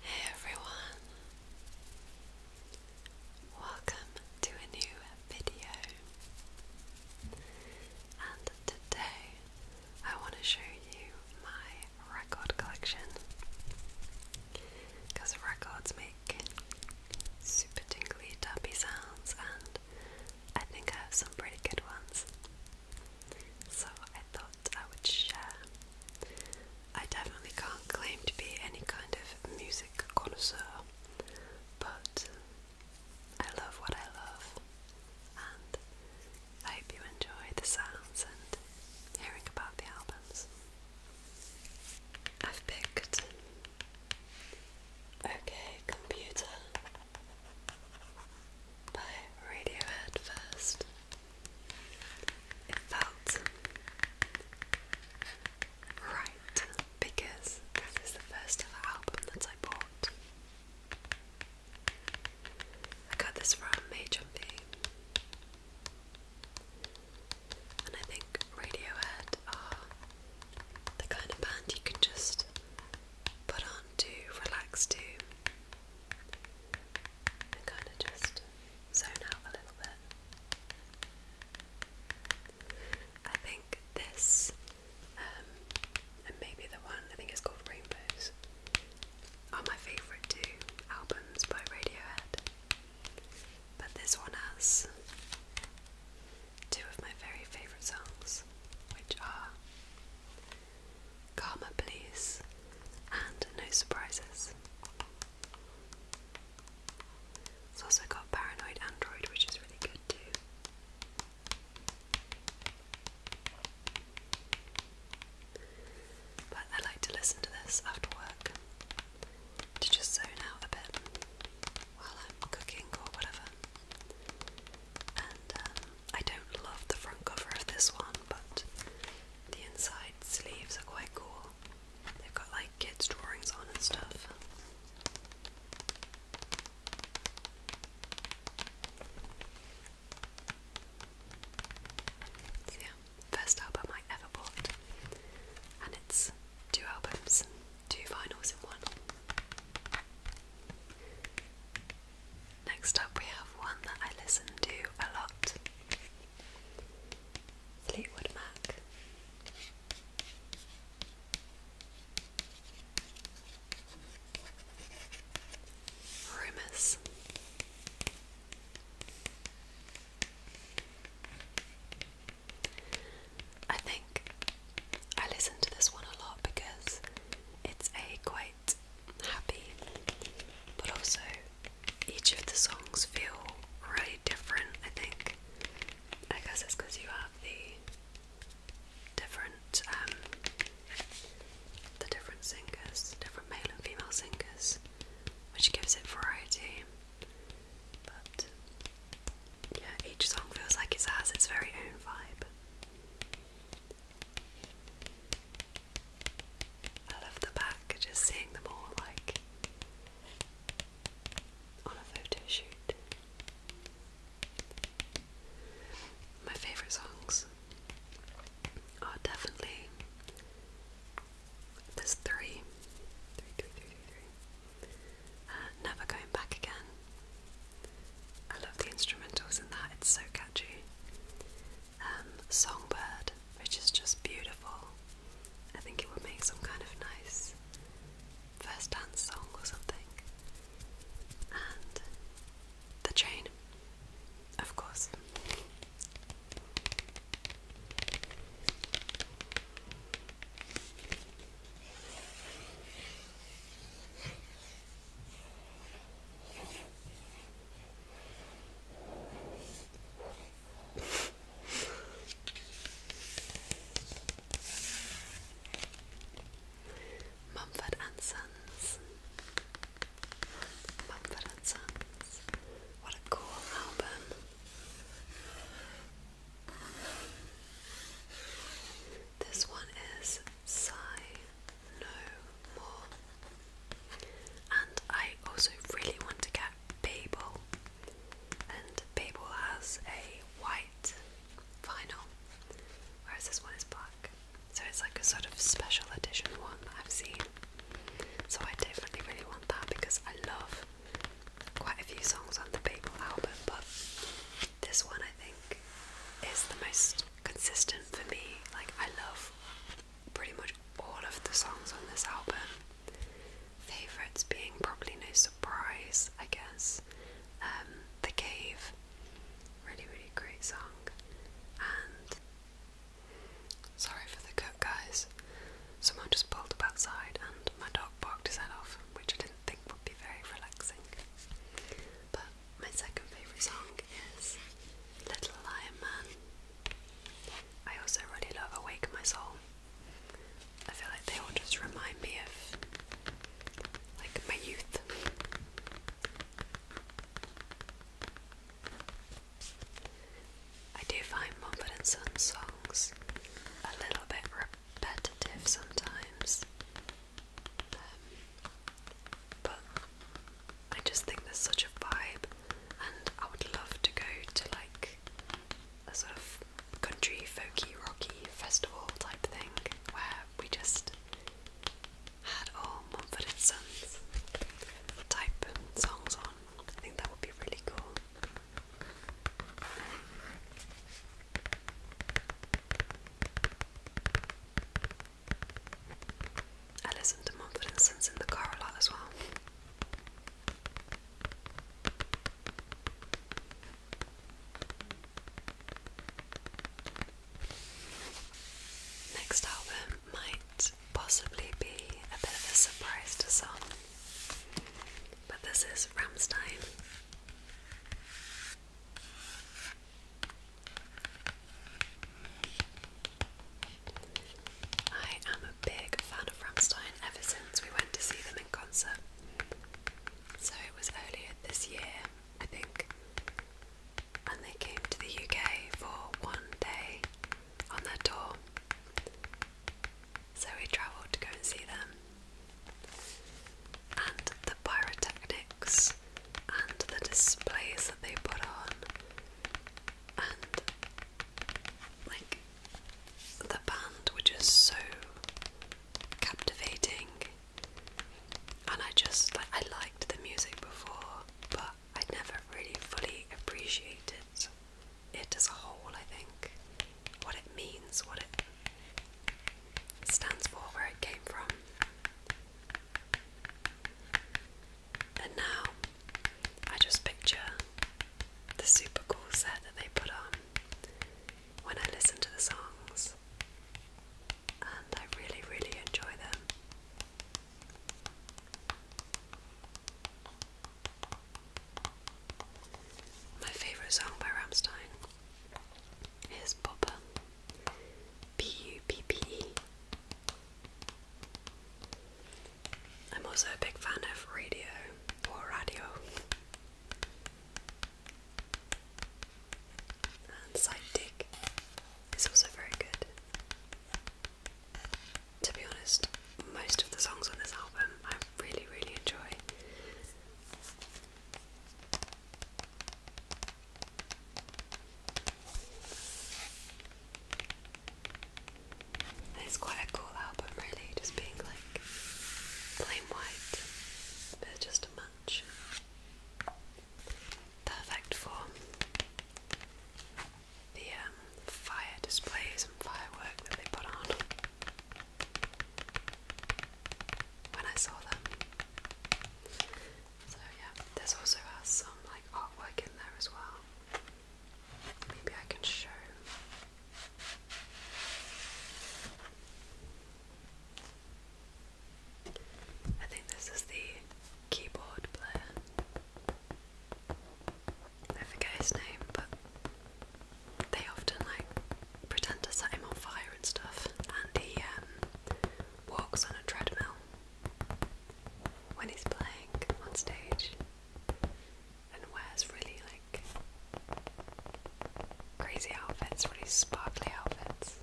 Hey everyone, welcome to a new video, and today I want to show you my record collection because records make super tingly, dumpy sounds, and I think I have some pretty good ones. So I thought I would share I definitely can't claim to be any kind of music connoisseur, but I love what I love, and I hope you enjoy the sounds and hearing about the albums. I've picked Okay Computer by Radiohead first. It felt right because this is the first ever album that I bought. I got this from Mayjumpy. And I think Radiohead are the kind of band you can just put on to relax to kind of just zone out a little bit. I think this, um, and maybe the one, I think it's called Rainbows, are my favourite two albums by Radiohead. But this one has two of my very favourite songs, which are Karma please, and No Surprises. It's also got Paranoid Android, which is really good too. But I like to listen to this after work to just zone out a bit while I'm cooking or whatever. And um, I don't love the front cover of this one, but the inside sleeves are quite cool. They've got like kids' drawings on and stuff. yeah, um, first album I ever bought. And it's two albums, two vinyls in one. Next up, we have one that I listen to a lot. Fleetwood Mac. Rumours. I think I listen to this one a lot because it's a quite happy, but also each of the songs feel really different. I think. I guess it's because you have the different, um, the different singers, different male and female singers, which gives it variety. But yeah, each song feels like it has its very own vibe. I love the back, just seeing them all like on a photo shoot. My favourite songs are definitely there's three. Three, three, uh, Never Going Back Again. I love the instrumentals in that, it's so catchy. Um, Songbird which is just beautiful. I think it would make some kind of nice first dance song or something. And the train, of course. Mumford and Sons. Mumford and Sons. What a cool album. This one is Sigh No More. And I also really want to get Babel, and Babel has a white vinyl, whereas this one is black. So it's like a sort of special edition one that I've seen. So I definitely really want that because I love quite a few songs on the Babel album, but this one I think is the most consistent for me. Like I love pretty much all of the songs on this album. Favourites being probably no surprise, I guess. Um, the Cave, really, really great song. And sorry for the cut, guys. Someone just pulled up outside and my dog barked his head off, which I didn't think would be very relaxing. But my second favourite song is Little Lion Man I also really love Awake My Soul. I feel like they all just remind me of like my youth. I do find Mumford and Son songs a little bit repetitive sometimes, um, but I just think there's such a vibe, and I would love to go to like a sort of country folky rocky festival type thing where we just had all Mumford and Sons type songs on. I think that would be really cool. I listen to Mumford and Sons in the car a lot as well. Next album might possibly be a bit of a surprise to some, but this is Ramstein. I am a big fan of Ramstein ever since we went to see them in concert. So it was earlier this year, I think, and they came to the UK for one day on their tour. So we travelled to go and see them. And the pyrotechnics and the displays that they put on, and like the band were just so captivating and I just like I liked the music before but I never really fully appreciated it as a whole I think what it means what it stands for where it came from and now I just picture the super cool set that they put on when I listen to the songs, and I really, really enjoy them. My favourite song by Ramstein is Popper. P U P P E. I'm also a big fan of radio or radio and side is also very good. To be honest, most of the songs on this album I really, really enjoy. And it's quite a cool album, really, just being like plain white. they just a match. Perfect for the um, fire displays and firework that they put on. When I saw them. So yeah, this also uh, some like artwork in there as well. Maybe I can show. I think this is the keyboard player. I forget his name, but they often like pretend to set him on fire and stuff. And he um, walks on a treadmill when he's playing on stage and wears really like crazy outfits, really sparkly outfits.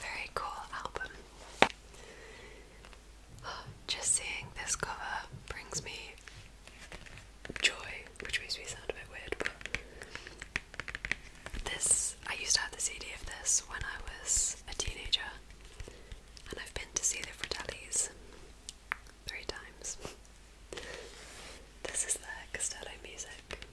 Very cool album. just seeing this cover brings me joy, which makes me sound a bit weird, but this I used to have the CD of this when I was a teenager and I've been to see the Fratellis three times. This is their Castello music,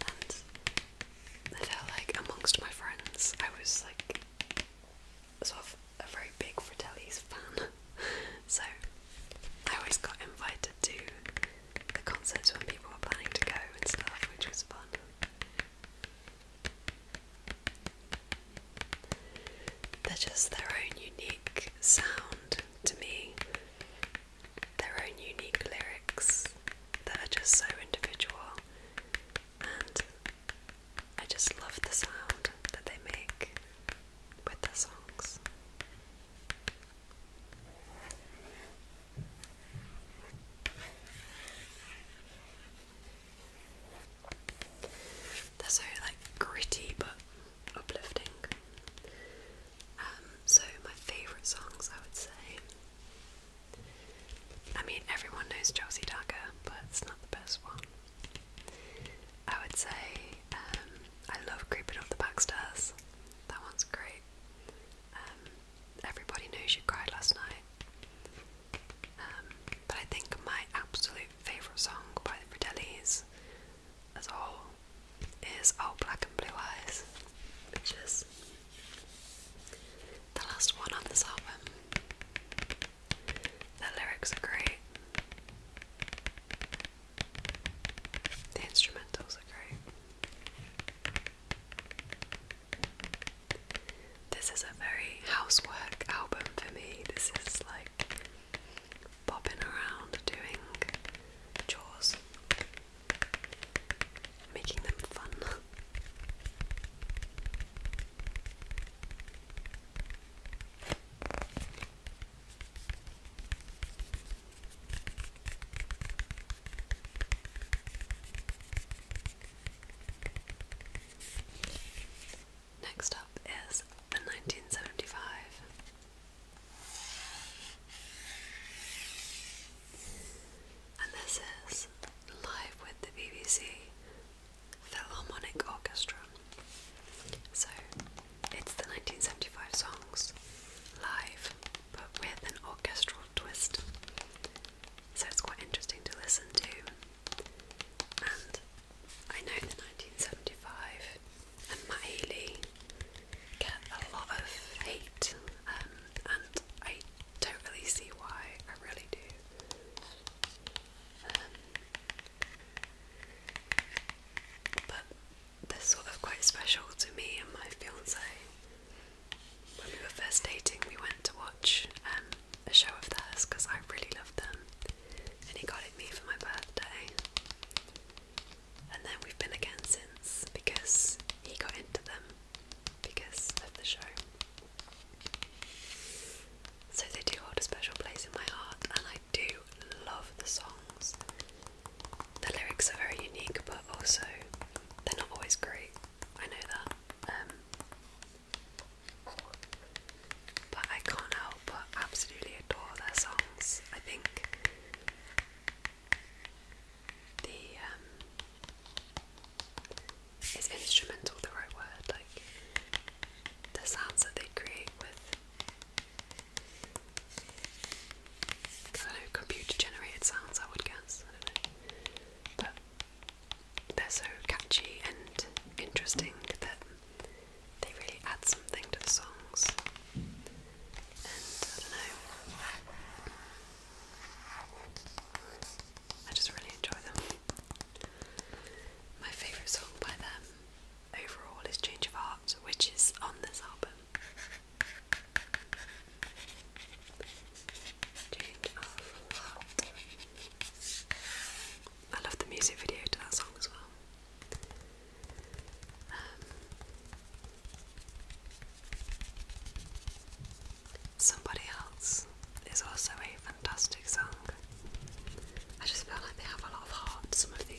and I felt like amongst my friends, I was like sort of a very big Fratellis fan, so I always got invited to the concerts when people were planning to go and stuff, which was fun. They're just their own unique sound to me, their own unique lyrics that are just so individual, and I just love the sound that they make with their songs. They're so like gritty but uplifting. Um, so my favourite songs, I would say. I mean, everyone knows Chelsea Dagger, but it's not the best one. I would say um, I love creeping up the back stairs. That one's great. Um, everybody knows you cried last night. Um, but I think my absolute favourite song by the Fratellis as a whole is Oh Black and Blue Eyes, which is the last one on this album. The lyrics are great. The instrumentals are great. This is a very housework album for me. This is like bopping around doing chores, making them fun. Next up is the 1975. And this is Live with the BBC Philharmonic Orchestra. So it's the 1975 songs live but with an orchestral twist so it's quite interesting to listen to. And I know in 1975, and Matt Healy get a lot of hate, um, and I don't really see why. I really do. Um, but they're sort of quite special to me and my fiance. When we were first dating, we went to watch um, a show of theirs because I really love them, and he got it me for my birthday. And then we've been again since because he got into them because of the show. So they do hold a special place in my heart, and I do love the songs. The lyrics are very unique, but also they're not always great. I know that. Um, but I can't help but absolutely adore their songs. I think the um, is instrumental the right word, like the sounds that they create with I don't know, computer generated sounds I would guess. But they're so catchy and interesting that they really add something to the songs. And I don't know. I just really enjoy them. My favourite song by them overall is Change of Heart, which is on this album. Change of Heart. I love the music video to that song as well. Um, Somebody Else is also a fantastic song. I just feel like they have a lot of heart, some of these.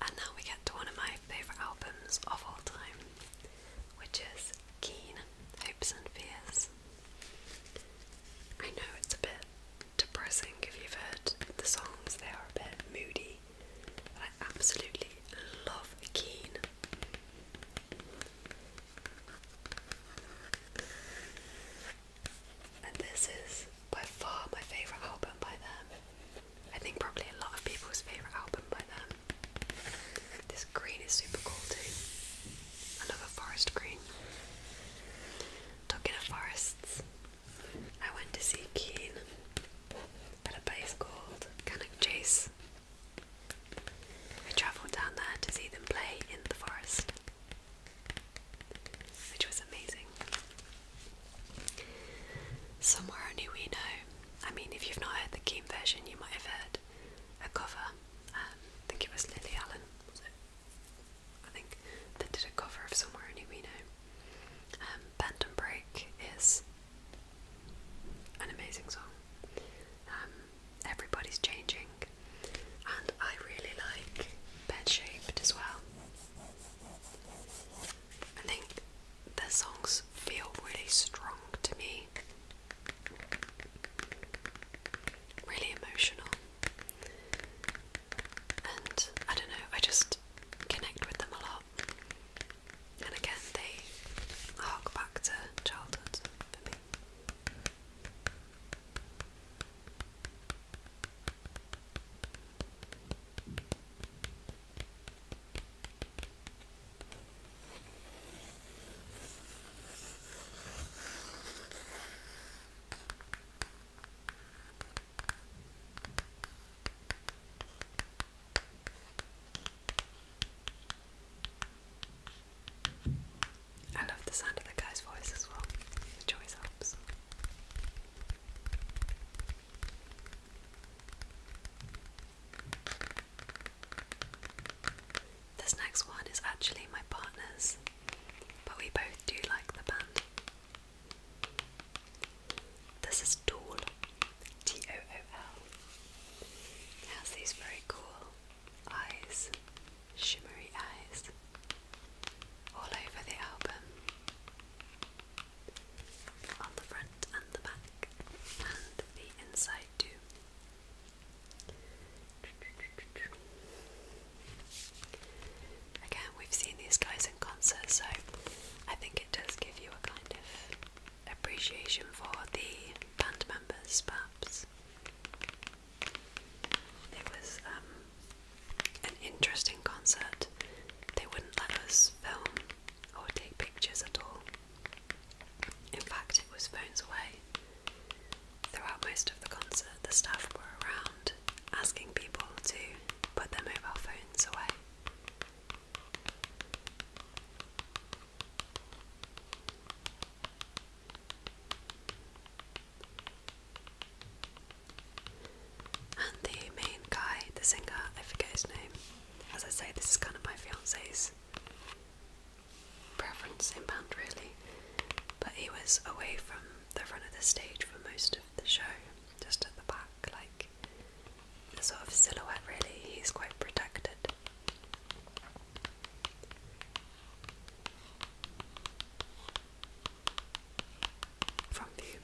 And now we get to one of my favourite albums of all time, which is Keen Hopes and Fears. I know it's a bit depressing if you've heard the songs, they are a bit moody, but I absolutely love Keen. And this is by far my favourite album by them. I think probably a lot of people's favourite album by them. This green is super cool too. Another forest green. Talking of forests, I went to see Keen at a place called Cannock Chase. I travelled down there to see them play in the forest, which was amazing. Somewhere only we know I mean, if you've not heard the Keane version, you might have heard a cover. Um, I think it was Lily Allen, I think that did a cover of Somewhere Only We Know. Um, Bend and Break is an amazing song. Um, everybody's changing, and I really like Bed Shaped as well. I think their songs feel really strong to me. Really emotional. And I don't know, I just connect with them a lot. And again, they hark back to childhood for me. I love the sound of the guy's voice as well. It always helps. This next one is actually my partner's, but we both do like the band. This is Tool, T O O L. has these very cool eyes, shimmery eyes, all over the album on the front and the back, and the inside too. Again, we've seen these guys in concert, so I think it does give you a kind of appreciation for the band members, perhaps. It was um, an interesting concert. They wouldn't let us film or take pictures at all. In fact, it was phones away. Throughout most of the concert, the staff were around asking people to put their mobile phones away. And the main guy, the singer, I forget his name, as I say, this is kind of my fiance's preference in band, really. But he was away from the front of the stage for most of the show, just at the back, like sort of silhouette, really. He's quite protected. From view.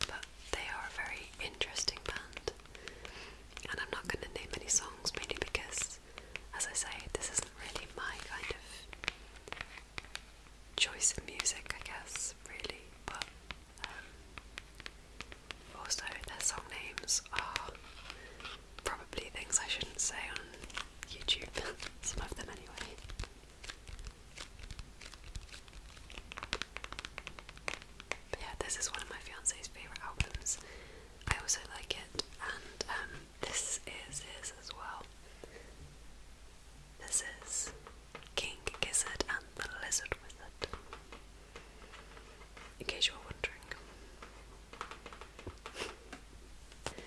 But they are a very interesting band. And I'm not going to name any songs, mainly because, as I say, this isn't really my kind of choice of music, I guess, really. But um, also, their song names are probably things I shouldn't say on YouTube. Some of them, anyway. But yeah, this is one of my fiance's favourite albums. I also like it, and um, this is his as well. This is King Gizzard and the Lizard In case you were wondering.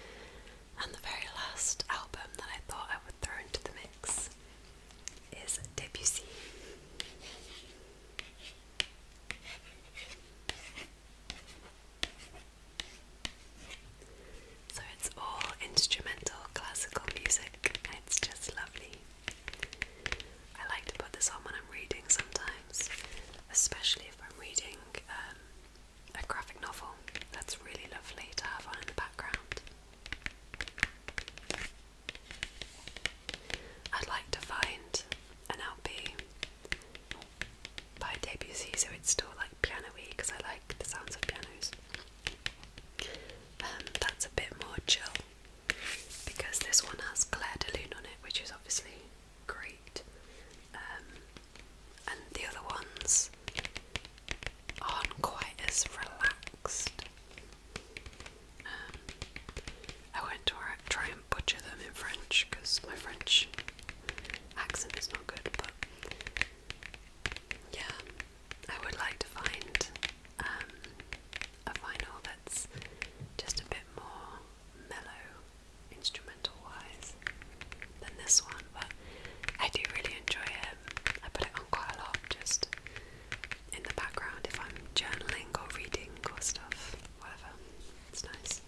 And the very last album that I thought I would throw the mix is Debussy. So it's all instrumental classical music, it's just lovely. I like to put this on when I'm reading sometimes, especially if I'm reading um, a graphic novel. That's really lovely to have on the background. I'd like to find an LP by Debussy, so it's still like piano-y because I like the sounds of pianos. Um, that's a bit more chill because this one has Claire de Lune on it, which is obviously great. Um, and the other ones aren't quite as relaxed. Um, I won't try and butcher them in French because my French accent is not good, but yeah, I would like to find um, a vinyl that's just a bit more mellow instrumental wise than this one, but I do really enjoy it. I put it quite a lot just in the background if I'm journaling or reading or stuff, whatever. It's nice.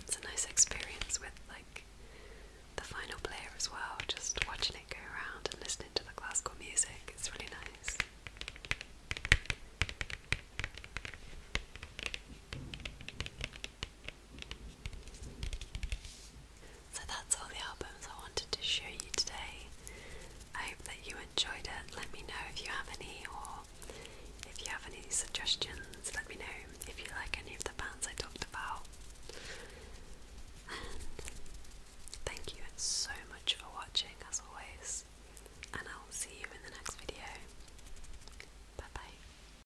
It's a nice experience with like the final player as well, just watching it go around and listening to the classical music. It's really nice. So that's all the albums I wanted to show you today. I hope that you enjoyed it. Let me know if you have any or if you have any suggestions. Let me know if you like any of the bands I talked about. thank you so much for watching as always. And I'll see you in the next video. Bye bye.